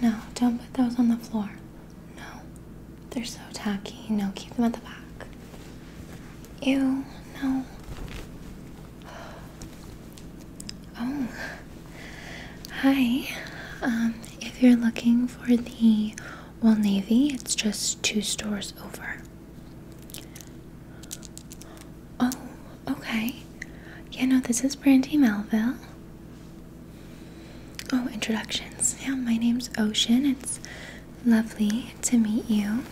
No, don't put those on the floor. No. They're so tacky. No, keep them at the back. Ew, no. Oh. Hi. Um, if you're looking for the well Navy, it's just two stores over. Oh, okay. Yeah, no, this is Brandy Melville. Oh, introductions. Yeah, my name's Ocean. It's lovely to meet you.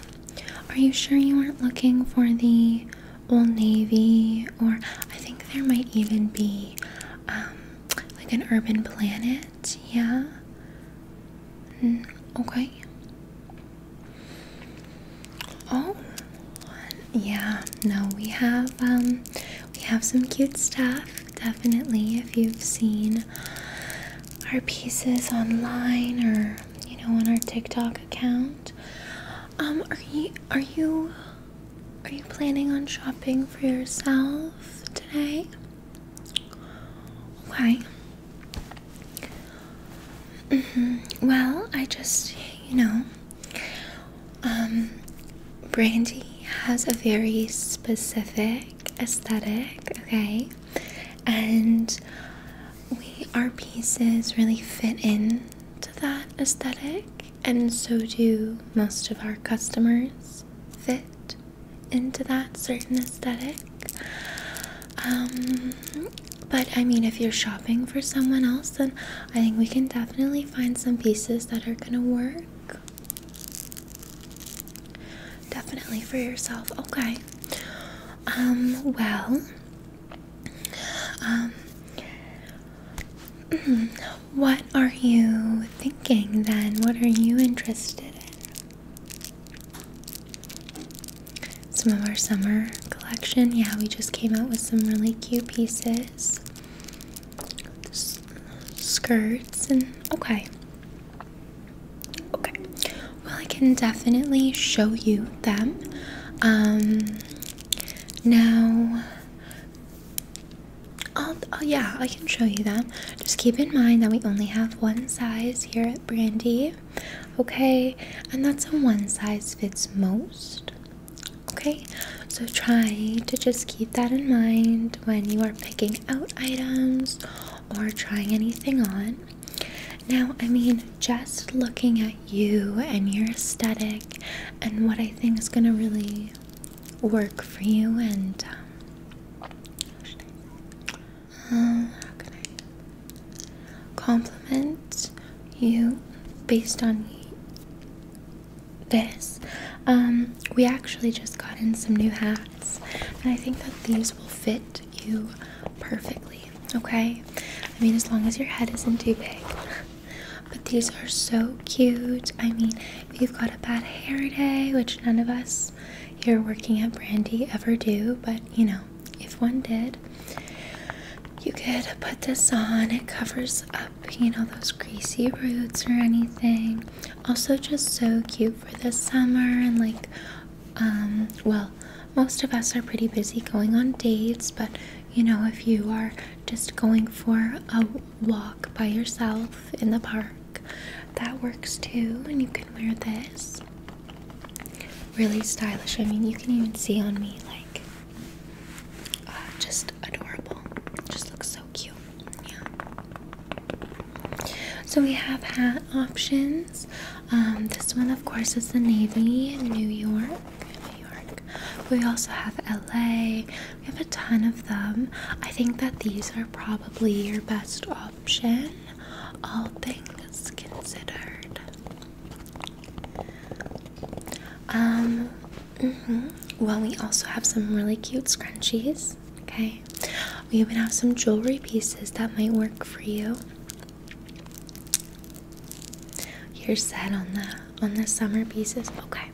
Are you sure you aren't looking for the Old Navy? Or I think there might even be um, like an urban planet. Yeah. Mm, okay. Oh, yeah. No, we have um, we have some cute stuff. Definitely, if you've seen our pieces online or you know on our TikTok account. Um, are you are you are you planning on shopping for yourself today? Okay. Mm-hmm. Well, I just, you know, um, Brandy has a very specific aesthetic, okay? And we, our pieces really fit in to that aesthetic, and so do most of our customers fit into that certain aesthetic. Um, but I mean, if you're shopping for someone else, then I think we can definitely find some pieces that are gonna work. Definitely for yourself. Okay. Um, well, um, mm-hmm. what are you thinking then? What are you interested in? Some of our summer collection. Yeah, we just came out with some really cute pieces. skirts and okay. Okay. Well, I can definitely show you them. Um now oh yeah, I can show you them. Just keep in mind that we only have one size here at Brandy okay? And that's a one size fits most, okay? So try to just keep that in mind when you are picking out items or trying anything on. Now, I mean, just looking at you and your aesthetic and what I think is gonna really work for you and um, um, compliment you based on this? Um, we actually just got in some new hats, and I think that these will fit you perfectly. Okay, I mean, as long as your head isn't too big. But these are so cute. I mean, if you've got a bad hair day, which none of us you're working at Brandy ever do, but you know, if one did, you could put this on. It covers up, you know, those greasy roots or anything. Also, just so cute for the summer and like, um, well, most of us are pretty busy going on dates, but you know, if you are just going for a walk by yourself in the park, that works too, and you can wear this really stylish. I mean, you can even see on me, like, uh, just adorable. Just looks so cute. Yeah. So we have hat options. Um, this one, of course, is the Navy, New York. New York. We also have LA. We have a ton of them. I think that these are probably your best option all things considered. Um, mm-hmm. well, we also have some really cute scrunchies. Okay, we even have some jewelry pieces that might work for you. You're set on the on the summer pieces. Okay.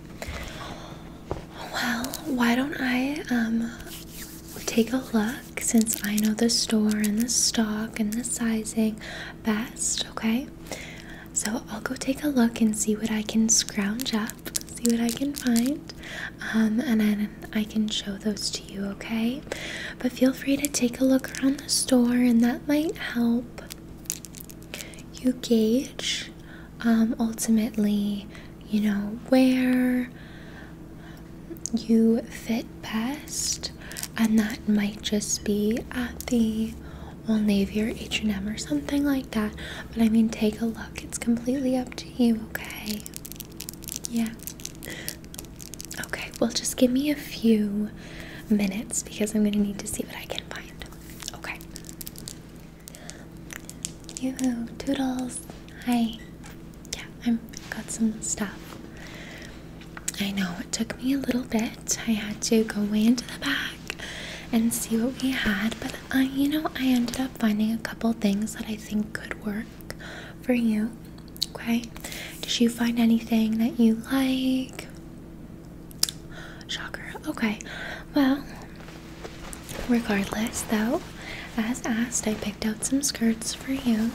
Well, why don't I um take a look since I know the store and the stock and the sizing best, okay? So I'll go take a look and see what I can scrounge up, see what I can find, um, and then I can show those to you, okay? But feel free to take a look around the store, and that might help you gauge um, ultimately you know, where you fit best and that might just be at the Old Navy or H&M or something like that but I mean take a look it's completely up to you okay yeah okay well just give me a few minutes because I'm gonna need to see what I can find okay you toodles hi yeah, I've got some stuff. I know it took me a little bit. I had to go way into the back and see what we had, but I, uh, you know, I ended up finding a couple things that I think could work for you. Okay, did you find anything that you like? Shocker. Okay, well, Regardless, though, as asked, I picked out some skirts for you.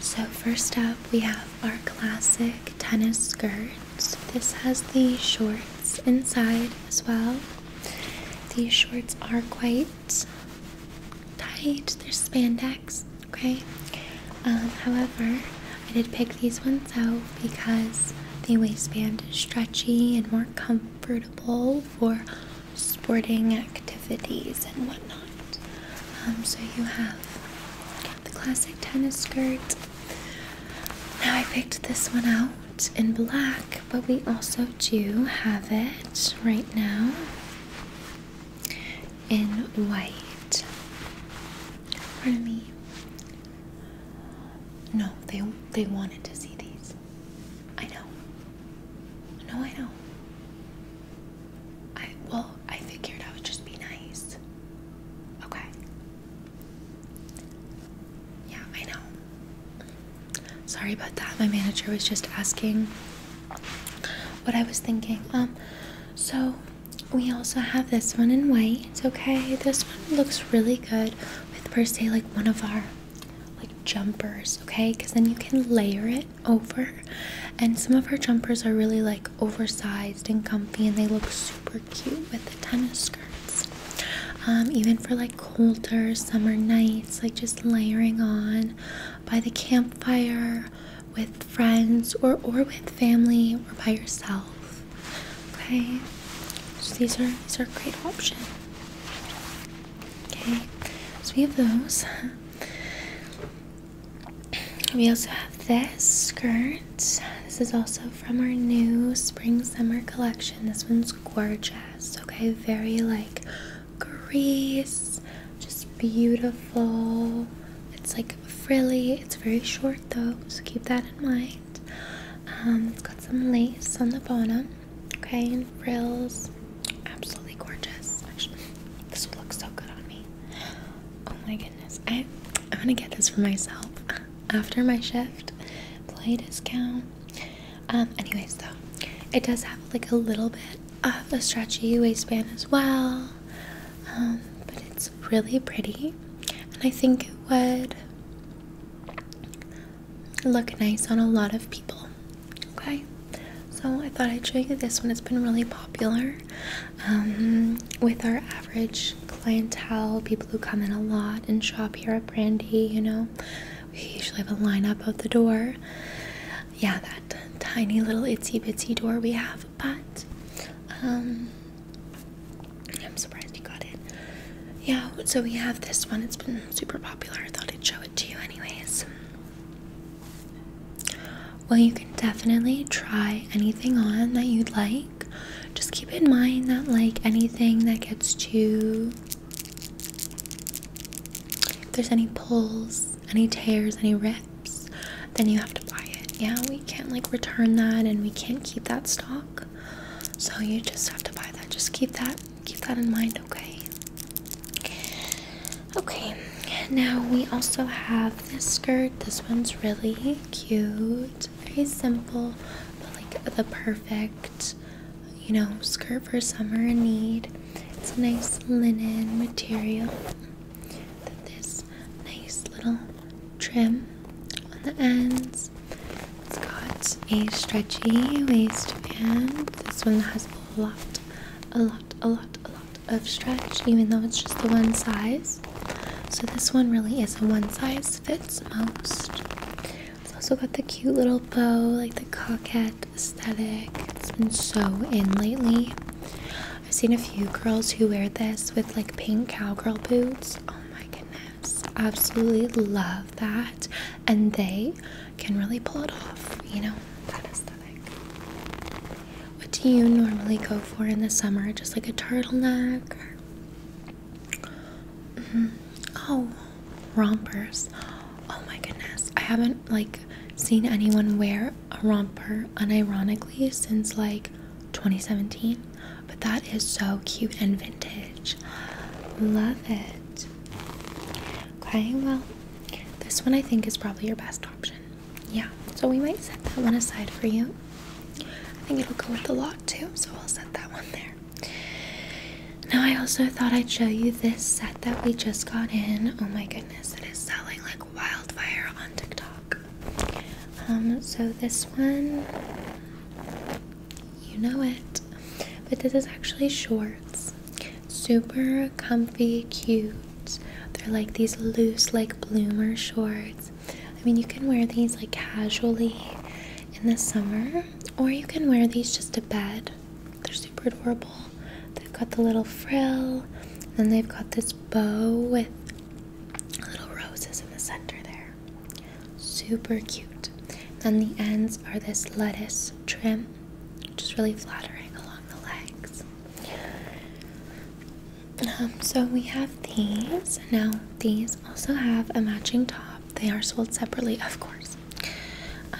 So, first up, we have our classic tennis skirts. This has the shorts inside as well. These shorts are quite tight, they're spandex, okay? Um, however, I did pick these ones out because the waistband is stretchy and more comfortable for sporting activities and whatnot. Um, so you have the classic tennis skirt. Now I picked this one out in black, but we also do have it right now in white. Pardon me. No, they they wanted to see these. I know. No, I know. I well, I figured I would just be nice. Okay. Yeah, I know. Sorry about that. My manager was just asking what I was thinking. Um, so we also have this one in white, okay? This one looks really good with per se like one of our like jumpers, okay? Because then you can layer it over. And some of her jumpers are really like oversized and comfy, and they look super cute with the tennis skirts. Um, even for like colder summer nights, like just layering on by the campfire with friends or or with family or by yourself. Okay, these are these are great options. Okay, so we have those. We also have this skirt. This is also from our new spring summer collection. This one's gorgeous. Okay, very like Greece, just beautiful. It's like frilly. It's very short though, so keep that in mind. Um, it's got some lace on the bottom. Okay, frills. Absolutely gorgeous. this would look so good on me. Oh my goodness. I I want to get this for myself after my shift. Play discount. Um, anyways though, it does have like a little bit of a stretchy waistband as well. Um, but it's really pretty. And I think it would look nice on a lot of people. Okay, so I thought I'd show you this one. It's been really popular um, with our average clientele, people who come in a lot and shop here at Brandy. You know, we usually have a line up at the door. Yeah, that tiny little itsy bitsy door we have, but um, I'm surprised you got it. Yeah, so we have this one. It's been super popular. I thought I'd show it to you, anyways. Well, you can definitely try anything on that you'd like. Just keep in mind that, like, anything that gets too. If there's any pulls, any tears, any rips, then you have to buy it. Yeah, we can't, like, return that and we can't keep that stock. So you just have to buy that. Just keep that keep that in mind, okay? Okay. Now we also have this skirt. This one's really cute. Very simple, but like the perfect, you know, skirt for summer in need. It's a nice linen material. That this nice little trim on the ends it's got a stretchy waistband. This one has a lot, a lot, a lot, a lot of stretch, even though it's just the one size. So this one really is a one size fits most. It's also got the cute little bow, like the coquette aesthetic. It's been so in lately. I've seen a few girls who wear this with like pink cowgirl boots. Oh my goodness. Absolutely love that. And they can really pull it off, you know, that aesthetic. What do you normally go for in the summer? Just like a turtleneck? Mm-hmm. Oh, rompers. Oh my goodness. I haven't like seen anyone wear a romper unironically since like 2017. But that is so cute and vintage. Love it. Okay, well, this one I think is probably your best option. Yeah, so we might set that one aside for you. I think it'll go with the lot too, so I'll set that one there. Now, I also thought I'd show you this set that we just got in. Oh my goodness, it is selling like wildfire on TikTok. Um, so this one, you know it, but this is actually shorts. Super comfy, cute. They're like these loose, like bloomer shorts. I mean, you can wear these like casually in the summer, or you can wear these just to bed. They're super adorable. They've got the little frill, and they've got this bow with little roses in the center there. Super cute. and the ends are this lettuce trim, which is really flattering along the legs. Um, so we have these. Now, these also have a matching top. They are sold separately, of course.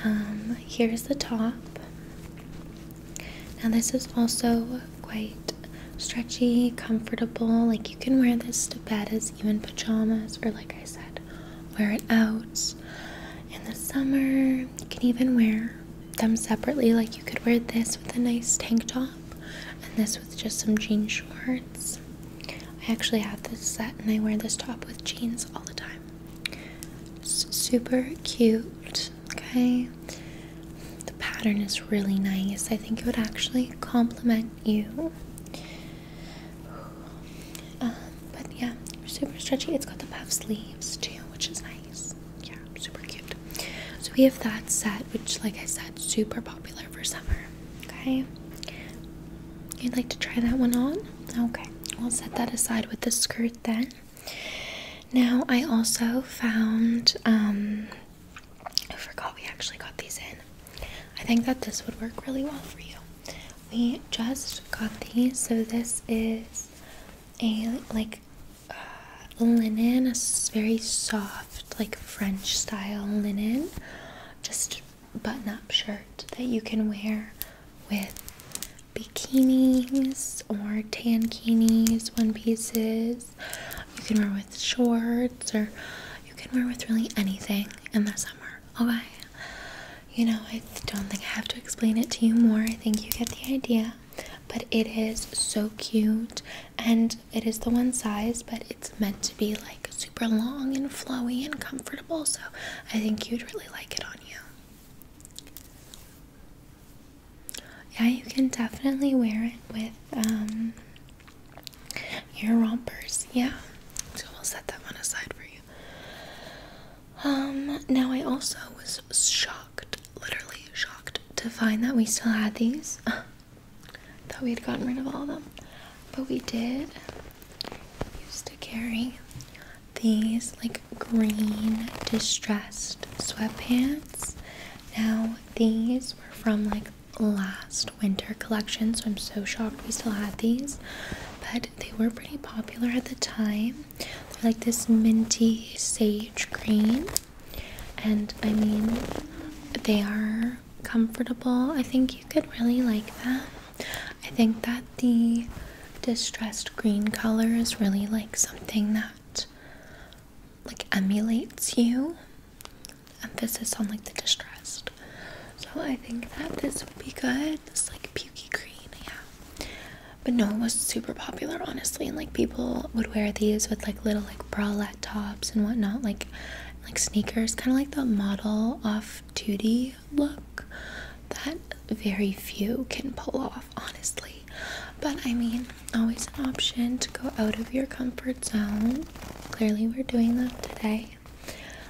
Um, here's the top. Now, this is also quite stretchy, comfortable. Like you can wear this to bed as even pajamas, or like I said, wear it out in the summer. You can even wear them separately. Like you could wear this with a nice tank top and this with just some jean shorts. I actually have this set and I wear this top with jeans all the time. super cute, okay? The pattern is really nice. I think it would actually complement you. Uh, but yeah, super stretchy. It's got the puff sleeves too, which is nice. Yeah, super cute. So we have that set, which, like I said, super popular for summer. Okay, you'd like to try that one on? Okay, we'll set that aside with the skirt then. Now, I also found um, I forgot we actually got these in. I think that this would work really well for you. We just got these, so this is a like uh, linen, a very soft, like French style linen, just button up shirt that you can wear with bikinis or tankinis, one pieces, you can wear with shorts or you can wear with really anything in the summer, okay? Oh, you know, I don't think I have to explain it to you more. I think you get the idea. But it is so cute and it is the one size, but it's meant to be like super long and flowy and comfortable. So I think you'd really like it on you. Yeah, you can definitely wear it with um, your rompers. Yeah, so we'll set that one aside for you. Um, now I also was shocked, literally shocked, to find that we still had these. Thought we had gotten rid of all of them, but we did. Used to carry these like green distressed sweatpants. Now these were from like last winter collection, so I'm so shocked we still had these. But they were pretty popular at the time. They're like this minty sage green. And I mean, they are comfortable. I think you could really like them. I think that the distressed green color is really like something that like emulates you. Emphasis on like the distressed. So I think that this would be good. This like pukey green, yeah. But no, it was super popular honestly, and like people would wear these with like little like bralette tops and whatnot, like like sneakers, kind of like the model off duty look that very few can pull off honestly but I mean, always an option to go out of your comfort zone. Clearly, we're doing that today.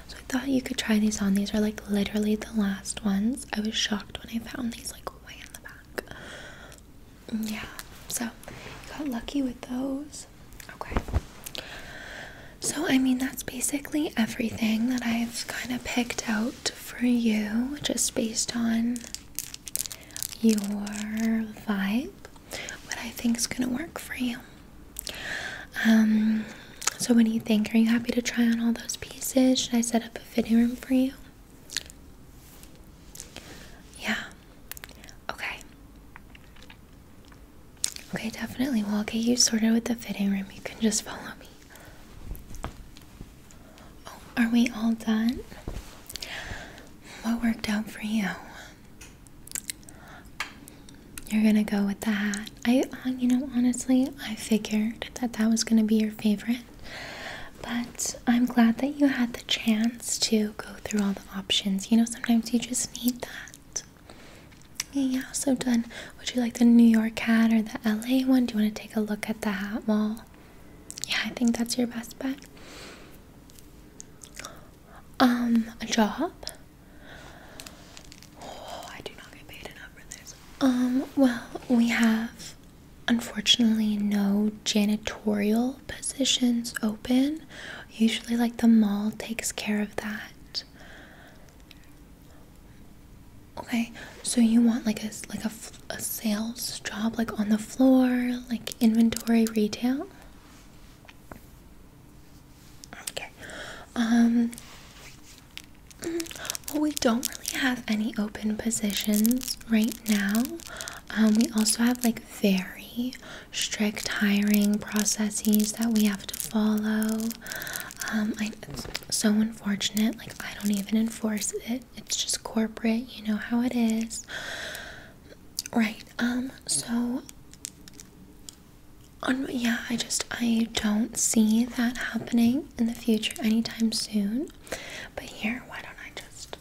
So I thought you could try these on. These are like literally the last ones. I was shocked when I found these like way in the back. Mm, yeah, so got lucky with those. Okay. So, I mean, that's basically everything that I've kind of picked out for you just based on your vibe, what I think is gonna work for you. Um, so what do you think? Are you happy to try on all those pieces? Should I set up a fitting room for you? Yeah. Okay. Okay, definitely. Well, I'll get you sorted with the fitting room. You can just follow me. Oh, are we all done? What worked out for you? You're gonna go with the hat. I, uh, you know, honestly, I figured that that was gonna be your favorite, but I'm glad that you had the chance to go through all the options. You know, sometimes you just need that. Yeah, so done. Would you like the New York hat or the LA one? Do you want to take a look at the hat wall? Yeah, I think that's your best bet. Um, a job? Oh, I do not get paid enough for this. Um, well, we have unfortunately no janitorial positions open. Usually, like the mall takes care of that. Okay, so you want like a like a, a sales job, like on the floor, like inventory retail. Okay, um, mm, well we don't really have any open positions right now. Um, we also have like very strict hiring processes that we have to follow. Um, it's so unfortunate. Like I don't even enforce it. It's just corporate, you know how it is. Right. Um so on yeah, I just I don't see that happening in the future anytime soon. But here, why don't I just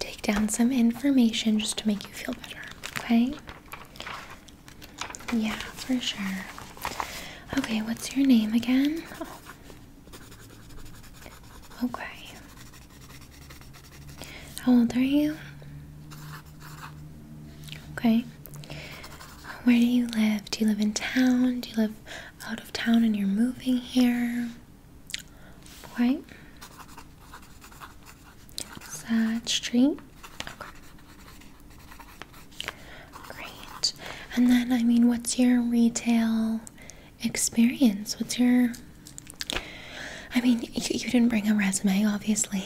take down some information just to make you feel better, okay? Yeah, for sure. Okay, what's your name again? Oh, Okay. How old are you? Okay. Where do you live? Do you live in town? Do you live out of town and you're moving here? Okay. Side street. Great. And then, I mean, what's your retail experience? What's your. I mean, you, didn't bring a resume, obviously.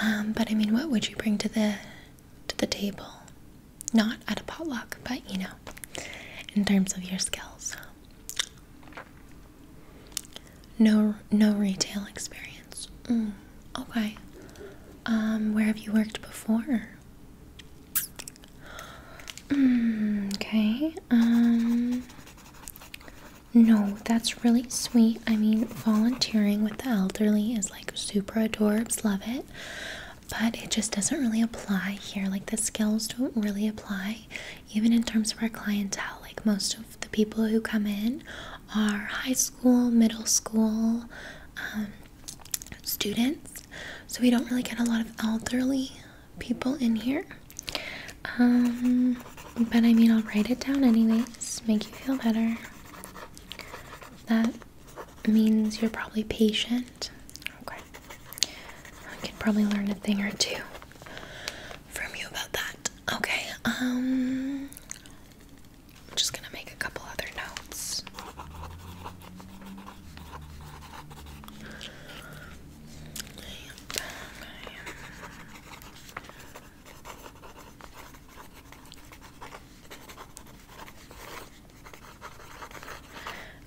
Um, but I mean, what would you bring to the to the table? Not at a potluck, but you know, in terms of your skills. No, no retail experience. Mm, okay. Um, where have you worked before? Mm, okay. Um. No, that's really sweet. I mean, volunteering with the elderly is like super adorbs. Love it. But it just doesn't really apply here. Like, the skills don't really apply, even in terms of our clientele. Like, most of the people who come in are high school, middle school, um, students, so we don't really get a lot of elderly people in here. Um, but I mean, I'll write it down anyways, make you feel better. That means you're probably patient. Okay. I can probably learn a thing or two from you about that. Okay, um, I'm just gonna make a couple other notes.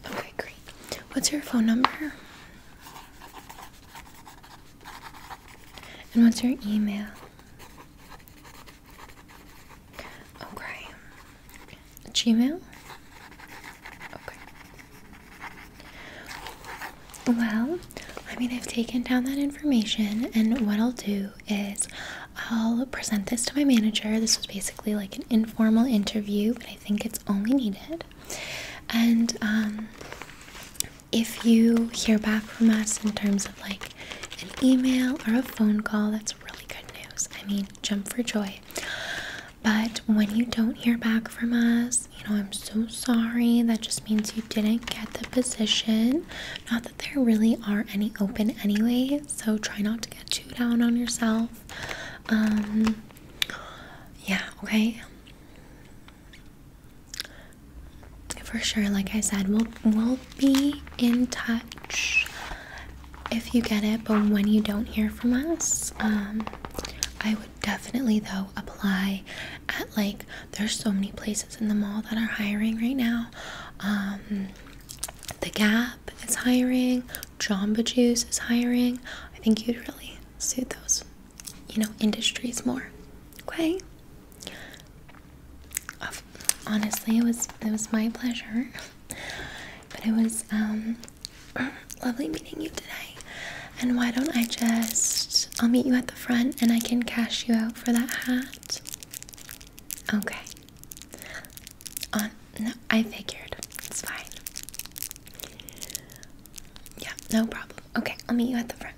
Okay, great. What's your phone number? And what's your email? Okay. Gmail? Okay. Well, I mean, I've taken down that information, and what I'll do is I'll present this to my manager. This was basically like an informal interview, but I think it's only needed. And um, if you hear back from us in terms of like an email or a phone call, that's really good news. I mean, jump for joy. But when you don't hear back from us, you know, I'm so sorry. That just means you didn't get the position. Not that there really are any open anyway, so try not to get too down on yourself. Um, yeah, okay for sure like i said we'll we'll be in touch if you get it but when you don't hear from us um, i would definitely though apply at like there's so many places in the mall that are hiring right now um, the gap is hiring jamba juice is hiring i think you'd really suit those you know industries more okay honestly, it was it was my pleasure. But it was um, lovely meeting you today. And why don't I just I'll meet you at the front and I can cash you out for that hat. Okay. no, I figured. It's fine. Yeah, no problem. Okay, I'll meet you at the front.